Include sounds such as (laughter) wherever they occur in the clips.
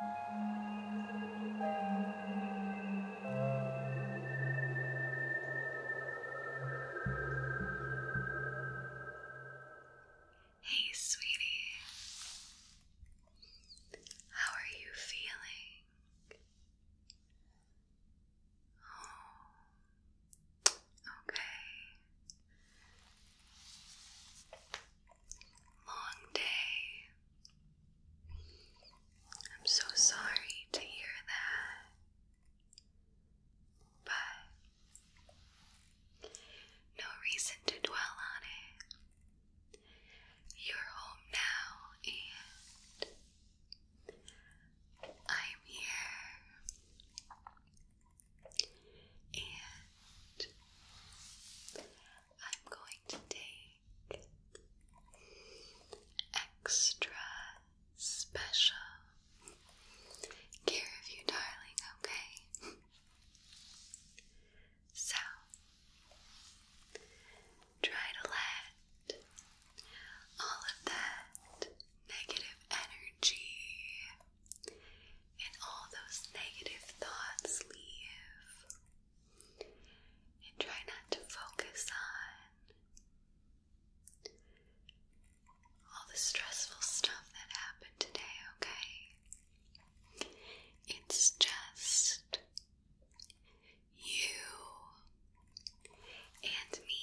Hey, sweetie, how are you feeling? Oh, okay. Long day. I'm so sorry to hear that. But no reason to dwell on it. You're home now, and I'm here. And I'm going to take extra special care of you, darling, okay? (laughs) So, try to let all of that negative energy and all those negative thoughts leave and try not to focus on all the stressful stuff that happened today, okay? It's just you and me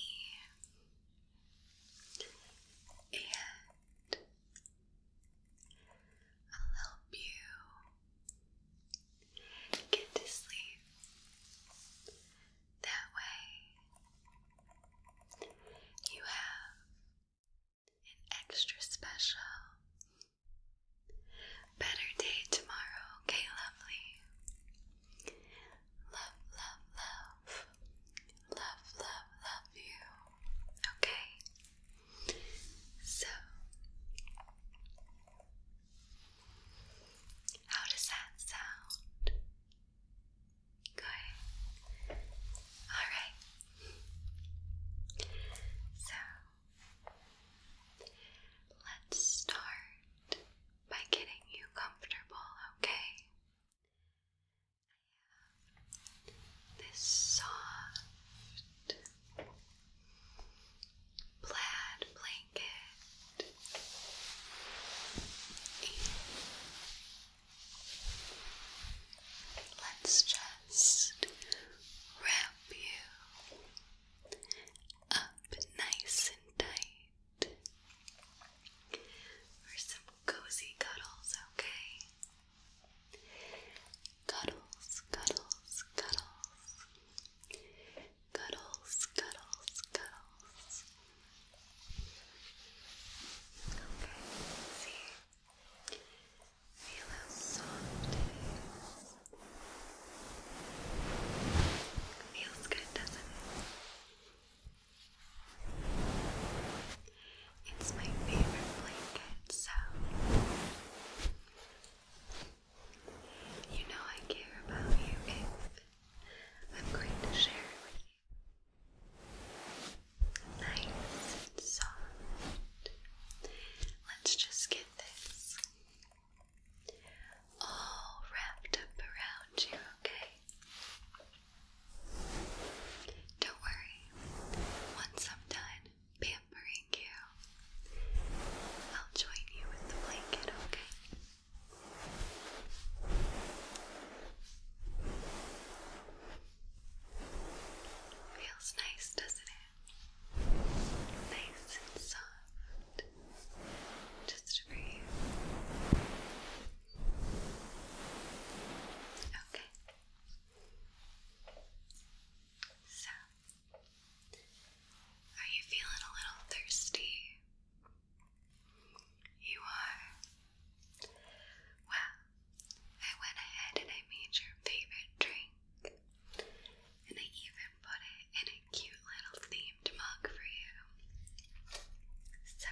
and I'll help you get to sleep. That way, you have an extra special, better day tomorrow, okay, lovely? Love, love, love. Love, love, love you. Okay? So, how does that sound? Good. Alright. So, let's start by getting you comfortable, okay? I have this soft plaid blanket. let's just wrap you up nice and tight for some cozy cuddles, okay? Cuddles, cuddles, cuddles. Cuddles, cuddles, cuddles. Okay, see? Feel how soft it is. Feels good, doesn't it? It's my favorite blanket sound. You know I care about you if I'm going to share it with you. Nice soft. Let's just get this all wrapped up around you, okay? Don't worry, once I'm done, pampering you. I'll join you with the blanket, okay? Feels nice, doesn't it? Nice and soft. Just for you. Okay. So, are you feeling a little thirsty? You are. Well, I went ahead and I made your favorite drink. And I even put it in a cute little themed mug for you. So,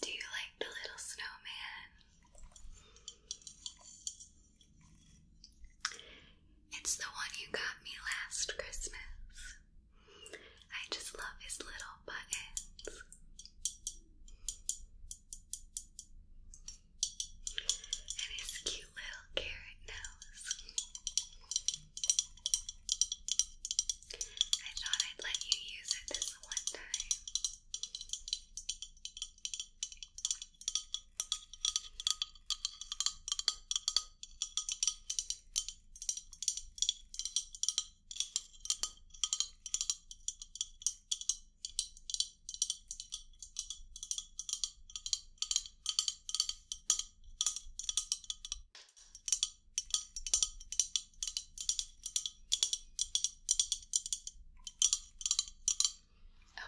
Do you like the little snowman? It's the one you got me last Christmas. I just love his little buttons and his cute little carrot nose. I thought I'd let you use it this one time. Now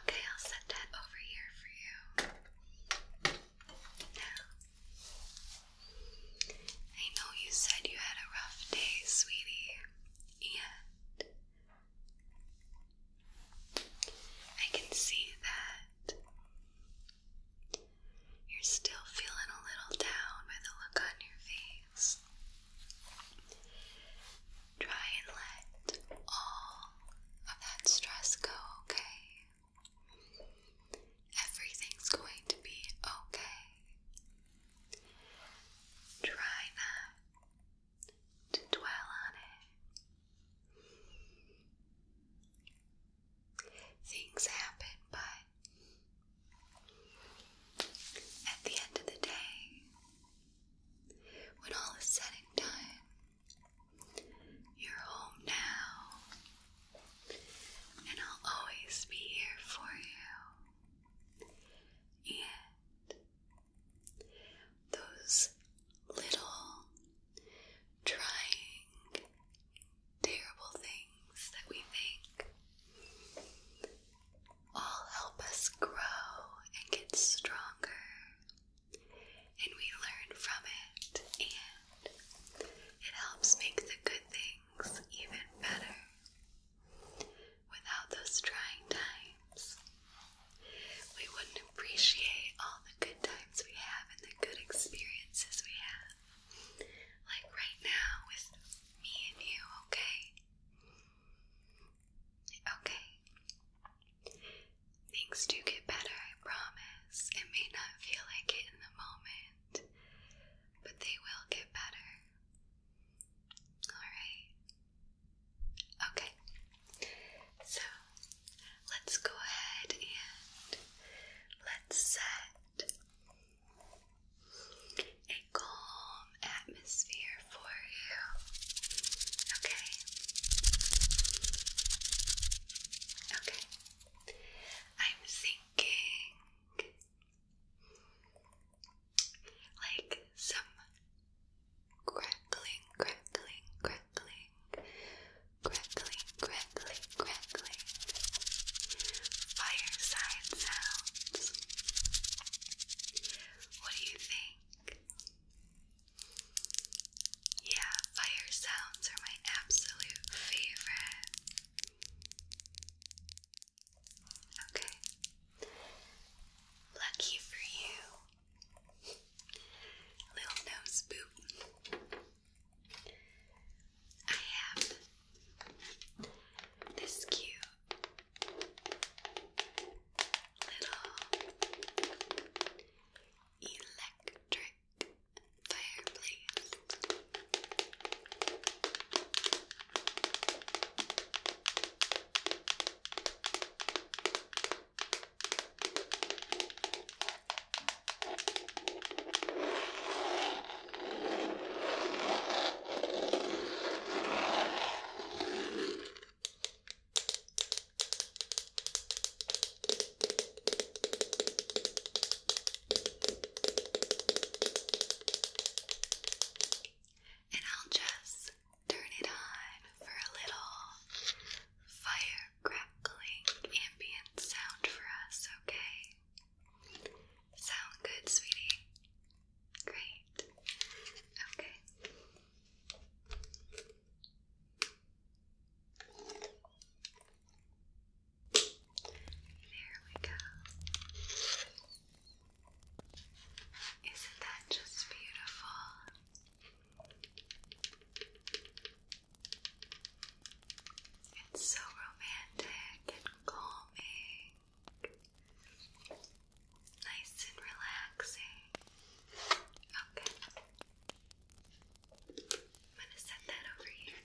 Okay, I'll set that over here for you. Now, I know you said you had a rough day, sweetie, and I can see that you're still feeling a little down by the look on your face. Try and let all of that stress go, okay? Everything's going to be okay. Try not to dwell on it. Things happen, but at the end of the day, when all is said and done, you're home now, and I'll always be here for you. And those little trying, terrible things that we think all help us grow and get stronger, and we learn from it, and it helps make the good things even better. Without those trying times, we wouldn't appreciate all the good times we have and the good experiences we have. Like right now with me and you, okay? Okay. Things do get better, I promise. It may not feel like it in the moment, but they will get better. Alright. Okay. So let's go ahead and let's set a calm atmosphere for you. Okay. Okay. I'm thinking like some crackling, crackling, crackling, crackling, crackling, crackling fireside sounds. What do you think? Yeah, fire sounds are my absolute favorite. Okay. Lucky for you. Little nose boot. I have this cute little electric fireplace. And I'll just turn it on for a little fire crackling ambient sound for us, okay? Sound good, sweetie? Great. Okay. There we go. Isn't that just beautiful? It's so romantic and calming, nice and relaxing. Okay, I'm going to set that over here.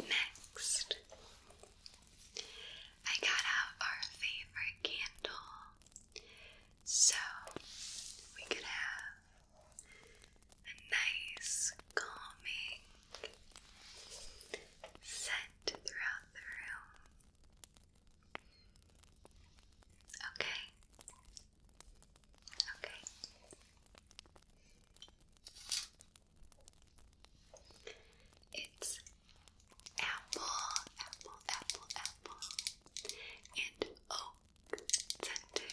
Next, I got out our favorite candle so we could have a nice, calming scent throughout the room. Okay, Okay. It's apple, apple, apple, apple, and oak scented.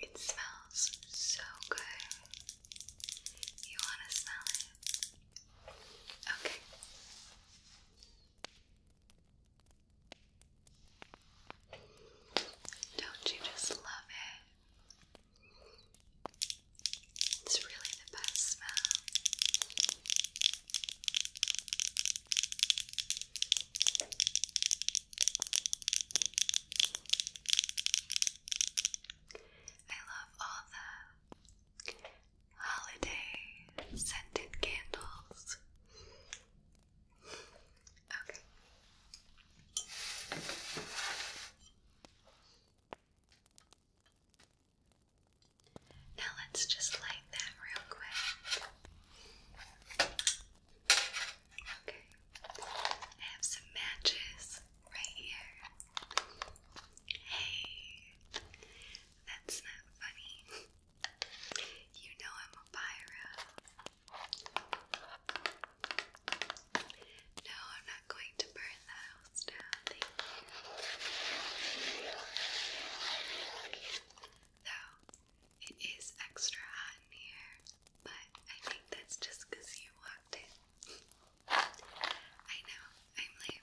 It smells so good. You want to smell it? Okay. Don't you just love it? It's really the best smell. I love all the holiday scented candles. Okay. Now let's just light that real quick. Okay, I have some matches right here. Hey, that's not funny. You know I'm a pyro. No, I'm not going to burn the house down, thank you. It is extra hot in here, but I think that's just you walked in. I know, I'm lame.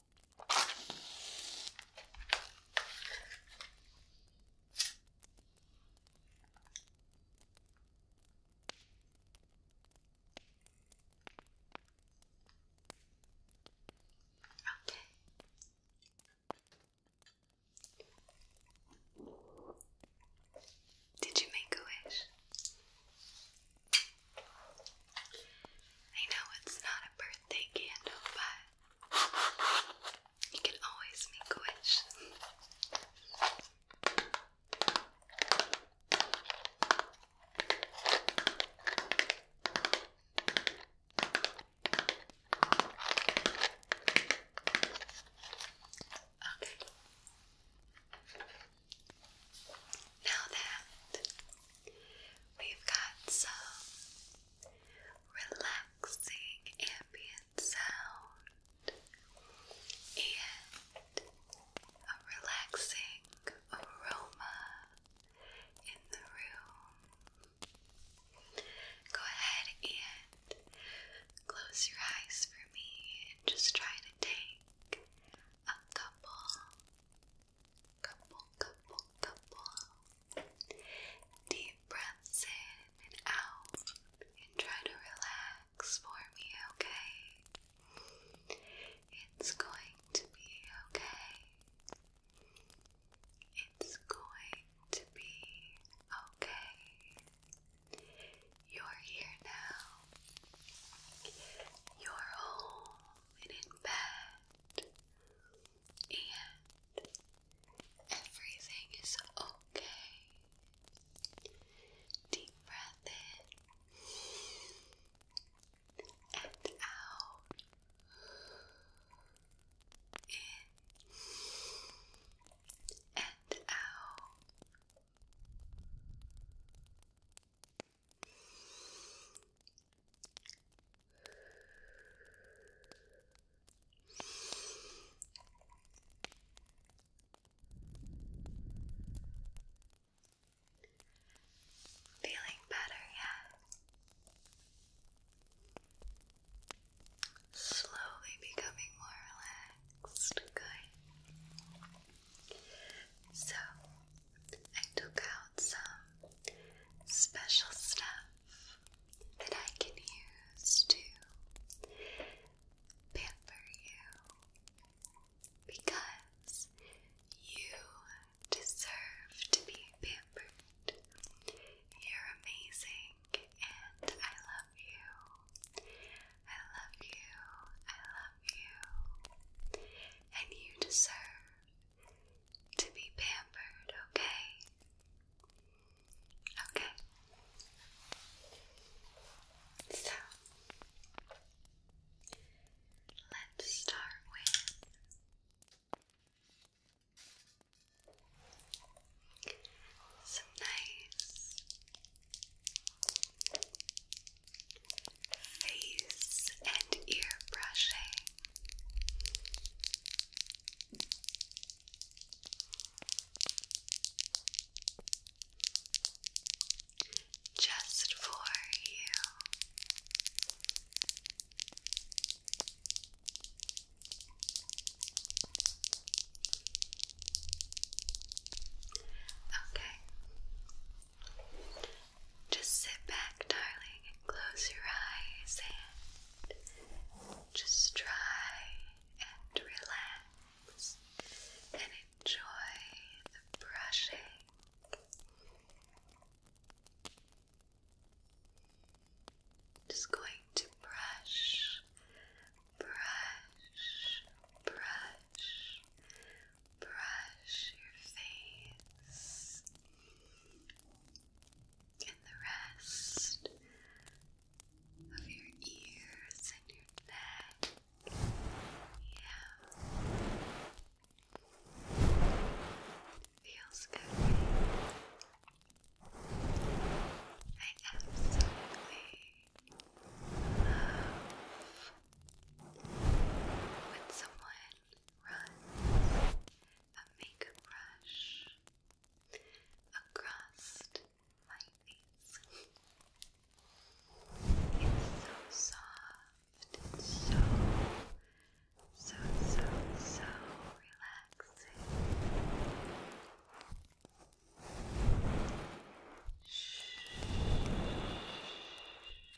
Okay. Did you make a wish? I know it's not a birthday candle, but you can always make a wish. Okay. Now that we've got some relaxing ambient sound and a relaxing aroma in the room, go ahead and close your eyes for me and just try to take a couple couple, couple, couple. Deep breaths in and out, and try to relax for me, okay? It's going to be okay. It's going to be okay. You're here now. You're home and in bed, and everything is okay. Deep breath in and out. In and out. Feeling better, yeah. Slowly becoming more relaxed. Good. So, I took out some special stuff that I can use to pamper you because you deserve to be pampered. You're amazing and I love you. I love you. I love you. And you deserve to be pampered, okay? Okay. So, let's start with some nice face and ear brushing. Just for you. Okay, just sit back, darling, and close your eyes and just try and relax and enjoy the brushing. Just going to brush, brush, brush, brush your face, and the rest of your ears and your neck. Yeah. Feels good. I absolutely love when someone runs a makeup brush across my face. It's so soft, it's so, so, so, so relaxing. Shh. Shh.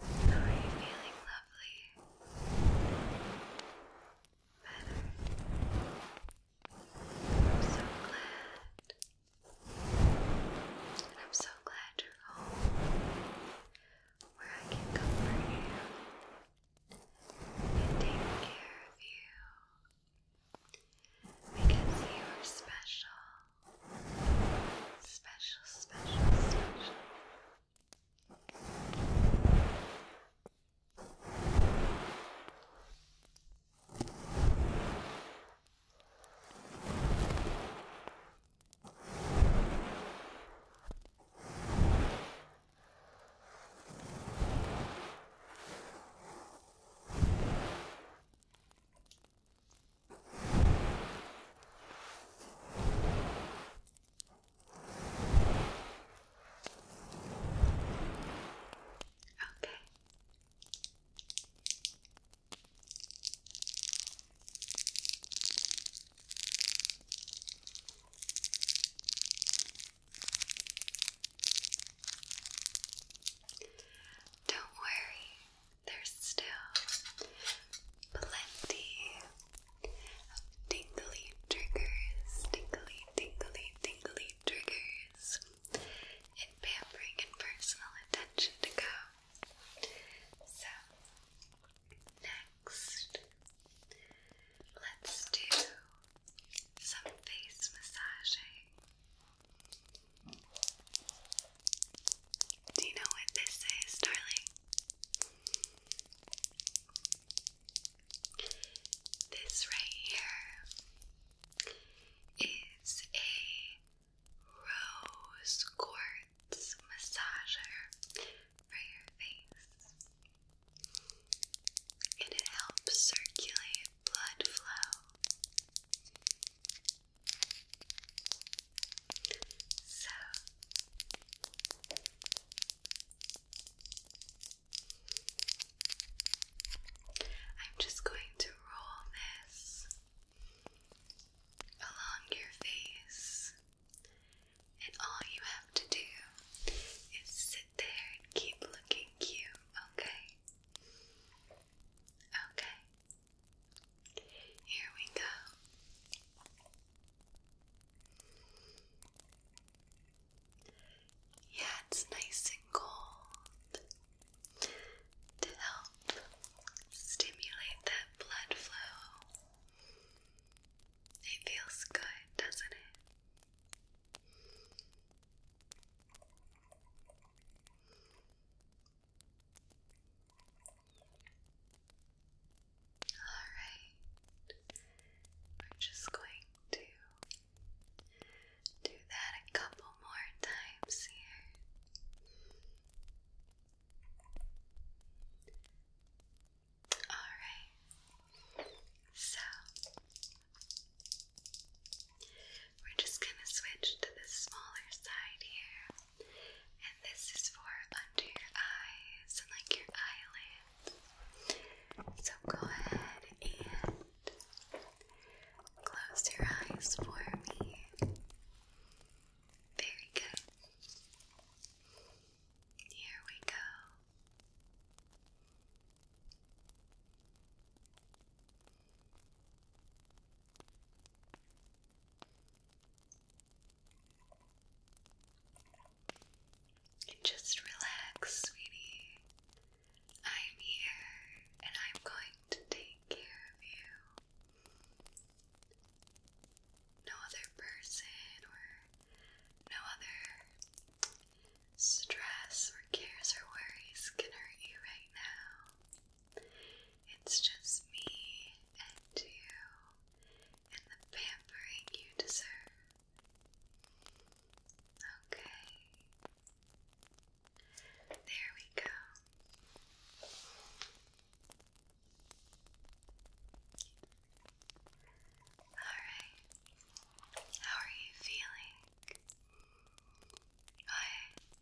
How are you feeling, lovely? Better. I'm so glad. I'm so glad you're home, where I can comfort you and take care of you. Because you are special Special, special, special. Okay. Don't worry, there's still plenty of tingly triggers, tingly, tingly, tingly triggers, and pampering and personal attention to go. So, next, let's do some face massaging. Do you know what this is, darling? This right here is a rose quartz massager for your face. And it helps circulate blood flow so I'm just going to roll this along your face, and all you have to do is sit there and keep looking cute, okay? Okay. Here we go. Yeah, it's nice and cold to help stimulate that blood flow. It feels good, doesn't it? Alright, we're just going to do that a couple more times here. Alright, so we're just going to switch to the smaller side here. And this is for under your eyes and like your eyelids. So go ahead and close your eyes for me. Very good. Here we go just relax, sweetie. I'm here and I'm going to take care of you. No other person or no other stress or cares or worries can hurt you right now. It's just me and you and the pampering you deserve. Okay. There we go. Alright. How are you feeling? I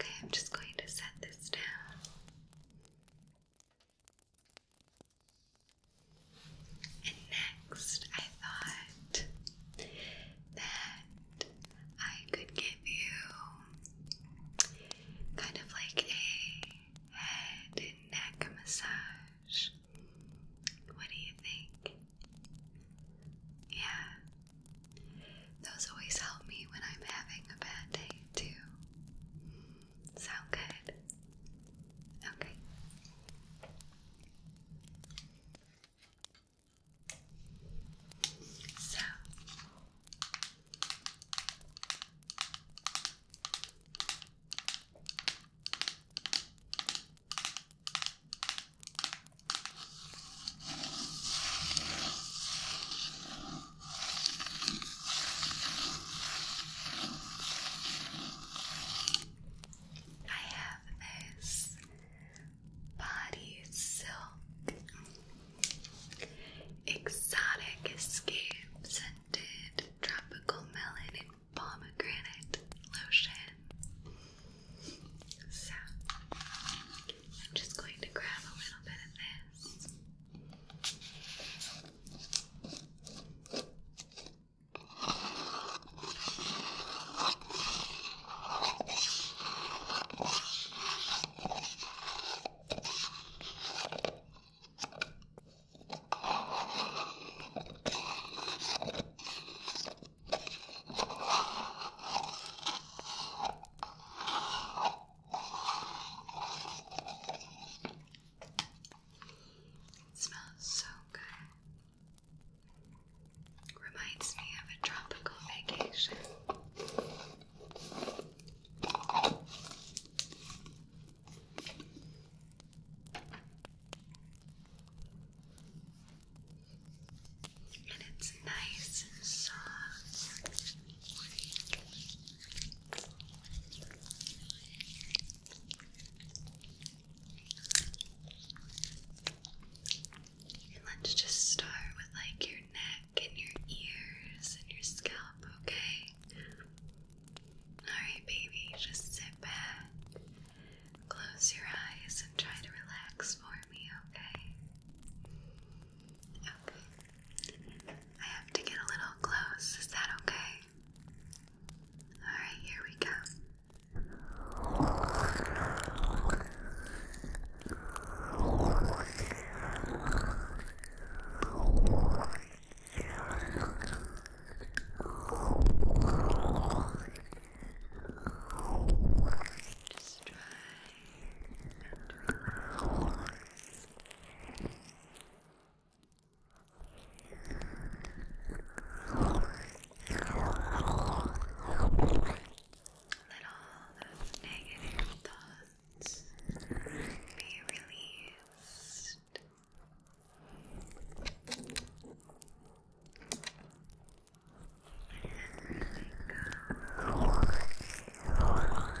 Okay, I'm just going to set this down. And next, I thought that I could give you kind of like a head and neck massage. What do you think? Yeah. Those always help me when I'm having a bad day, too. Sound good? Okay. So, I have this body silk Exotic escape scented tropical melon and pomegranate lotion. So, I'm just going to grab a little bit of this. It smells so good. Reminds me of a tropical vacation. And it's nice and soft. let's just start with like your neck and your ears and your scalp, okay? Alright, baby, just sit back, close your eyes, and try to relax for me, okay? Okay. I have to get a little close, is that okay? Alright, here we go. Just try and relax. Let all those negative thoughts be released. Let yourself become more and more relaxed.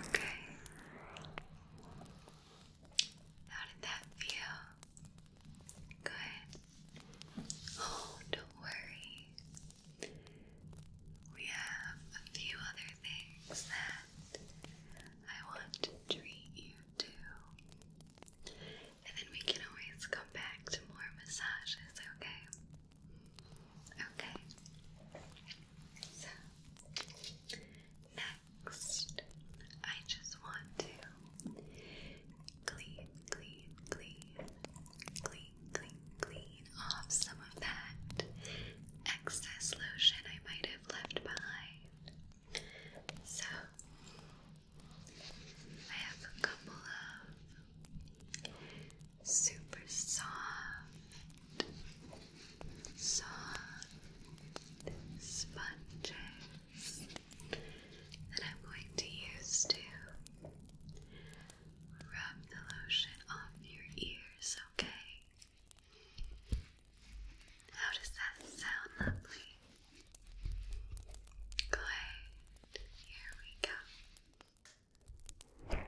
Okay. How did that feel? Good. Oh, don't worry. We have a few other things that I want to treat you to. And then we can always come back to more massages, okay? Okay. So, next, I just want to clean, clean, clean, clean, clean, clean off some of that excess lotion I might have left behind. So, I have a couple of super soft, soft sponges that I'm going to use to rub the lotion off your ears, okay? How does that sound, lovely? Good. Here we go.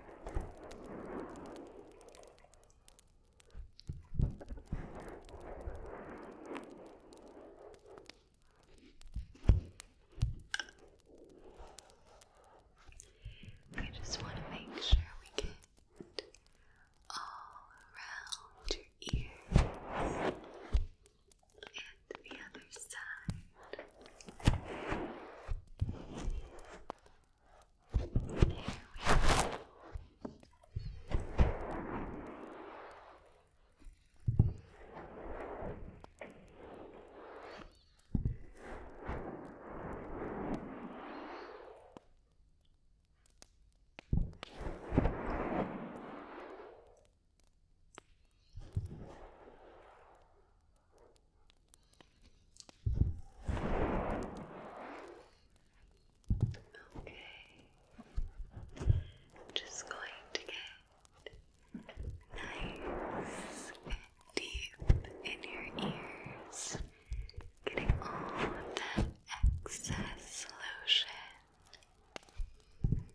We just want to make sure we get all around your ears and the other side. There we go. Good. Okay. i just going to get nice and deep in your ears, getting all that excess lotion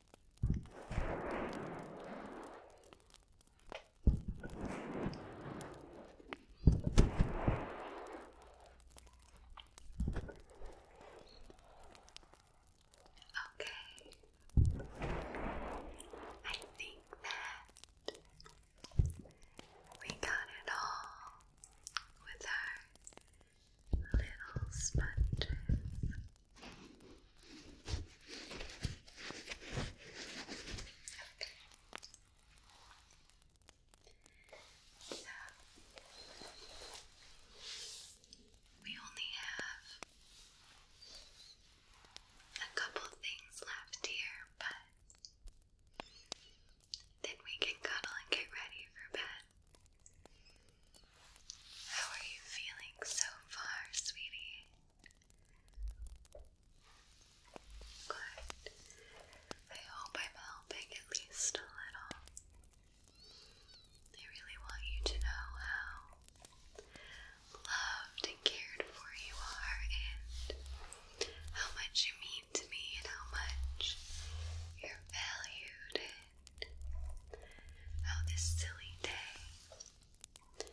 Okay. I think that we got it all with our little sponges. we only have a couple things left here, but then we can cuddle and get ready for bed. How are you feeling so far, sweetie? Good. I hope I'm helping at least a little. I really want you to know how loved and cared for you are, and how much you mean to me, and how much you're valued, Oh, this silly day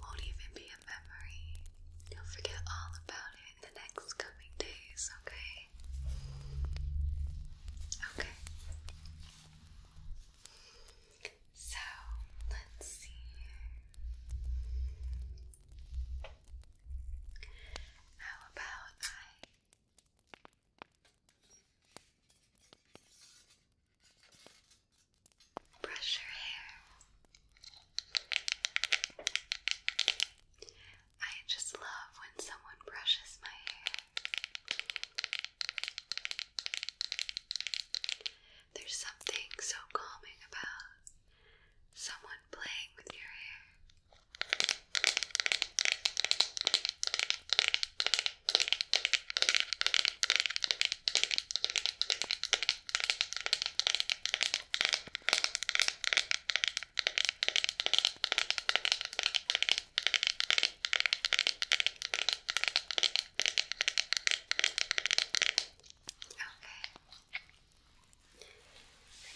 won't even be a memory. You'll forget all about it in the next coming days, okay? Okay. So, let's see How about I Brush your hair. I just love when someone brushes my hair. There's something so calming about someone playing with your hair. I'm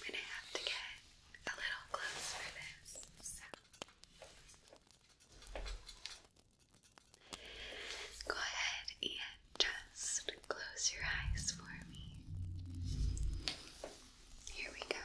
going to have to get a little close for this. So. Go ahead and just close your eyes for me. Here we go.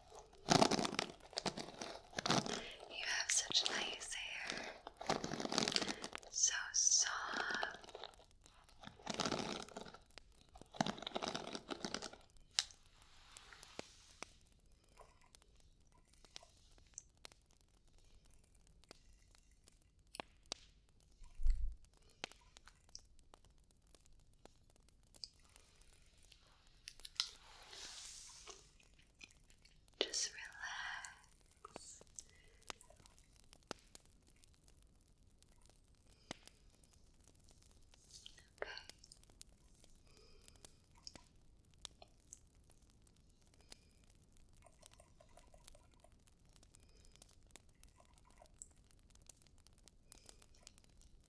You have such nice hair. So soft. Just relax. Okay.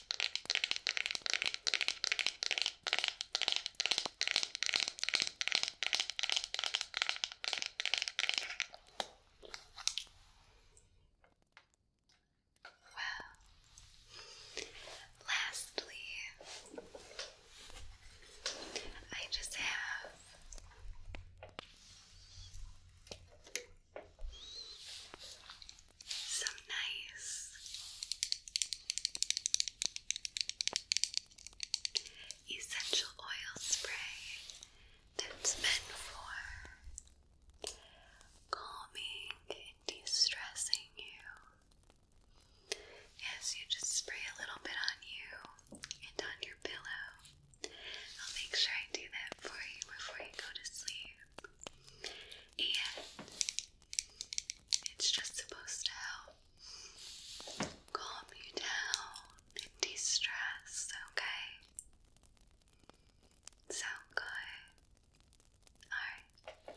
Well, lastly, I just have some nice essential oil spray that's meant for calming and de you. Yes, you just spray a little bit on you and on your pillow. I'll make sure I do that for you before you go to sleep. And it's just supposed to help calm you down and de stress, okay? Sound good? Alright.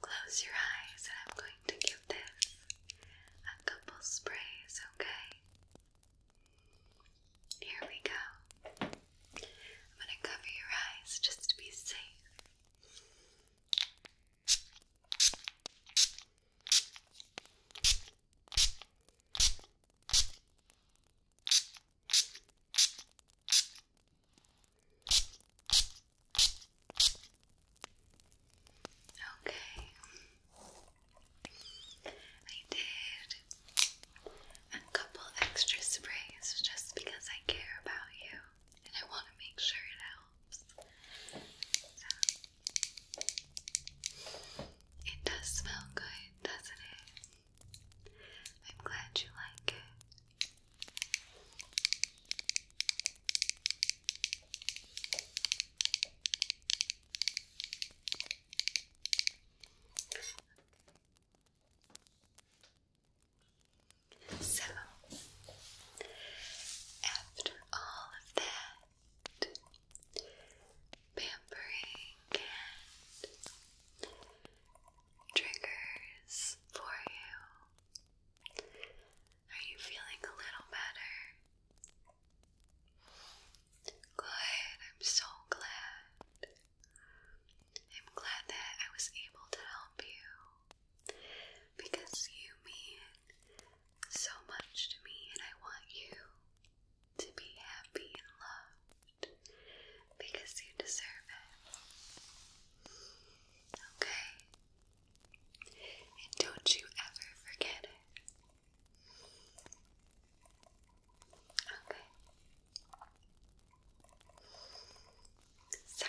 Close your eyes, and I'm going to give this a couple sprays, okay? Here we go. I'm going to cover your eyes just to be safe. Okay, I did a couple extra sprays just because I care about you and I want to make sure it helps. it does smell good, doesn't it? I'm glad you like it. So, after all of that pampering and triggers for you. Are you feeling a little better? Good, I'm so glad. I'm glad that I was able to help you because you mean so much to me, and I want you to be happy and loved because you deserve it. Okay? And don't you ever forget it. Okay. So,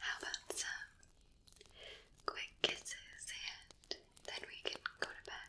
how about some quick kisses and then we can go to bed?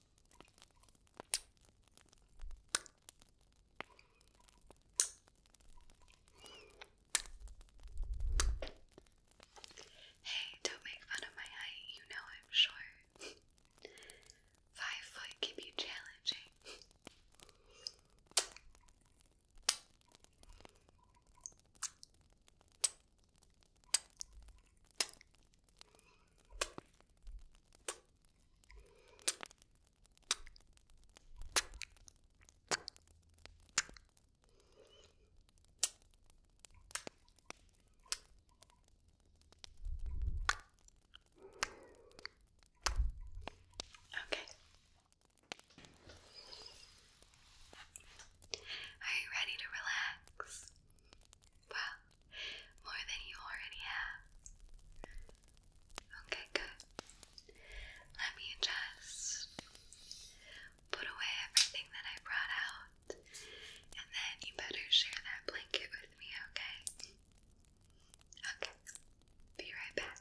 Hey, don't make fun of my height, you know I'm short. Five foot can be challenging. Okay. Are you ready to relax? Well, more than you already have. Okay, good. Let me just put away everything that I brought out, and then you better share that blanket with me, okay? Okay, be right back.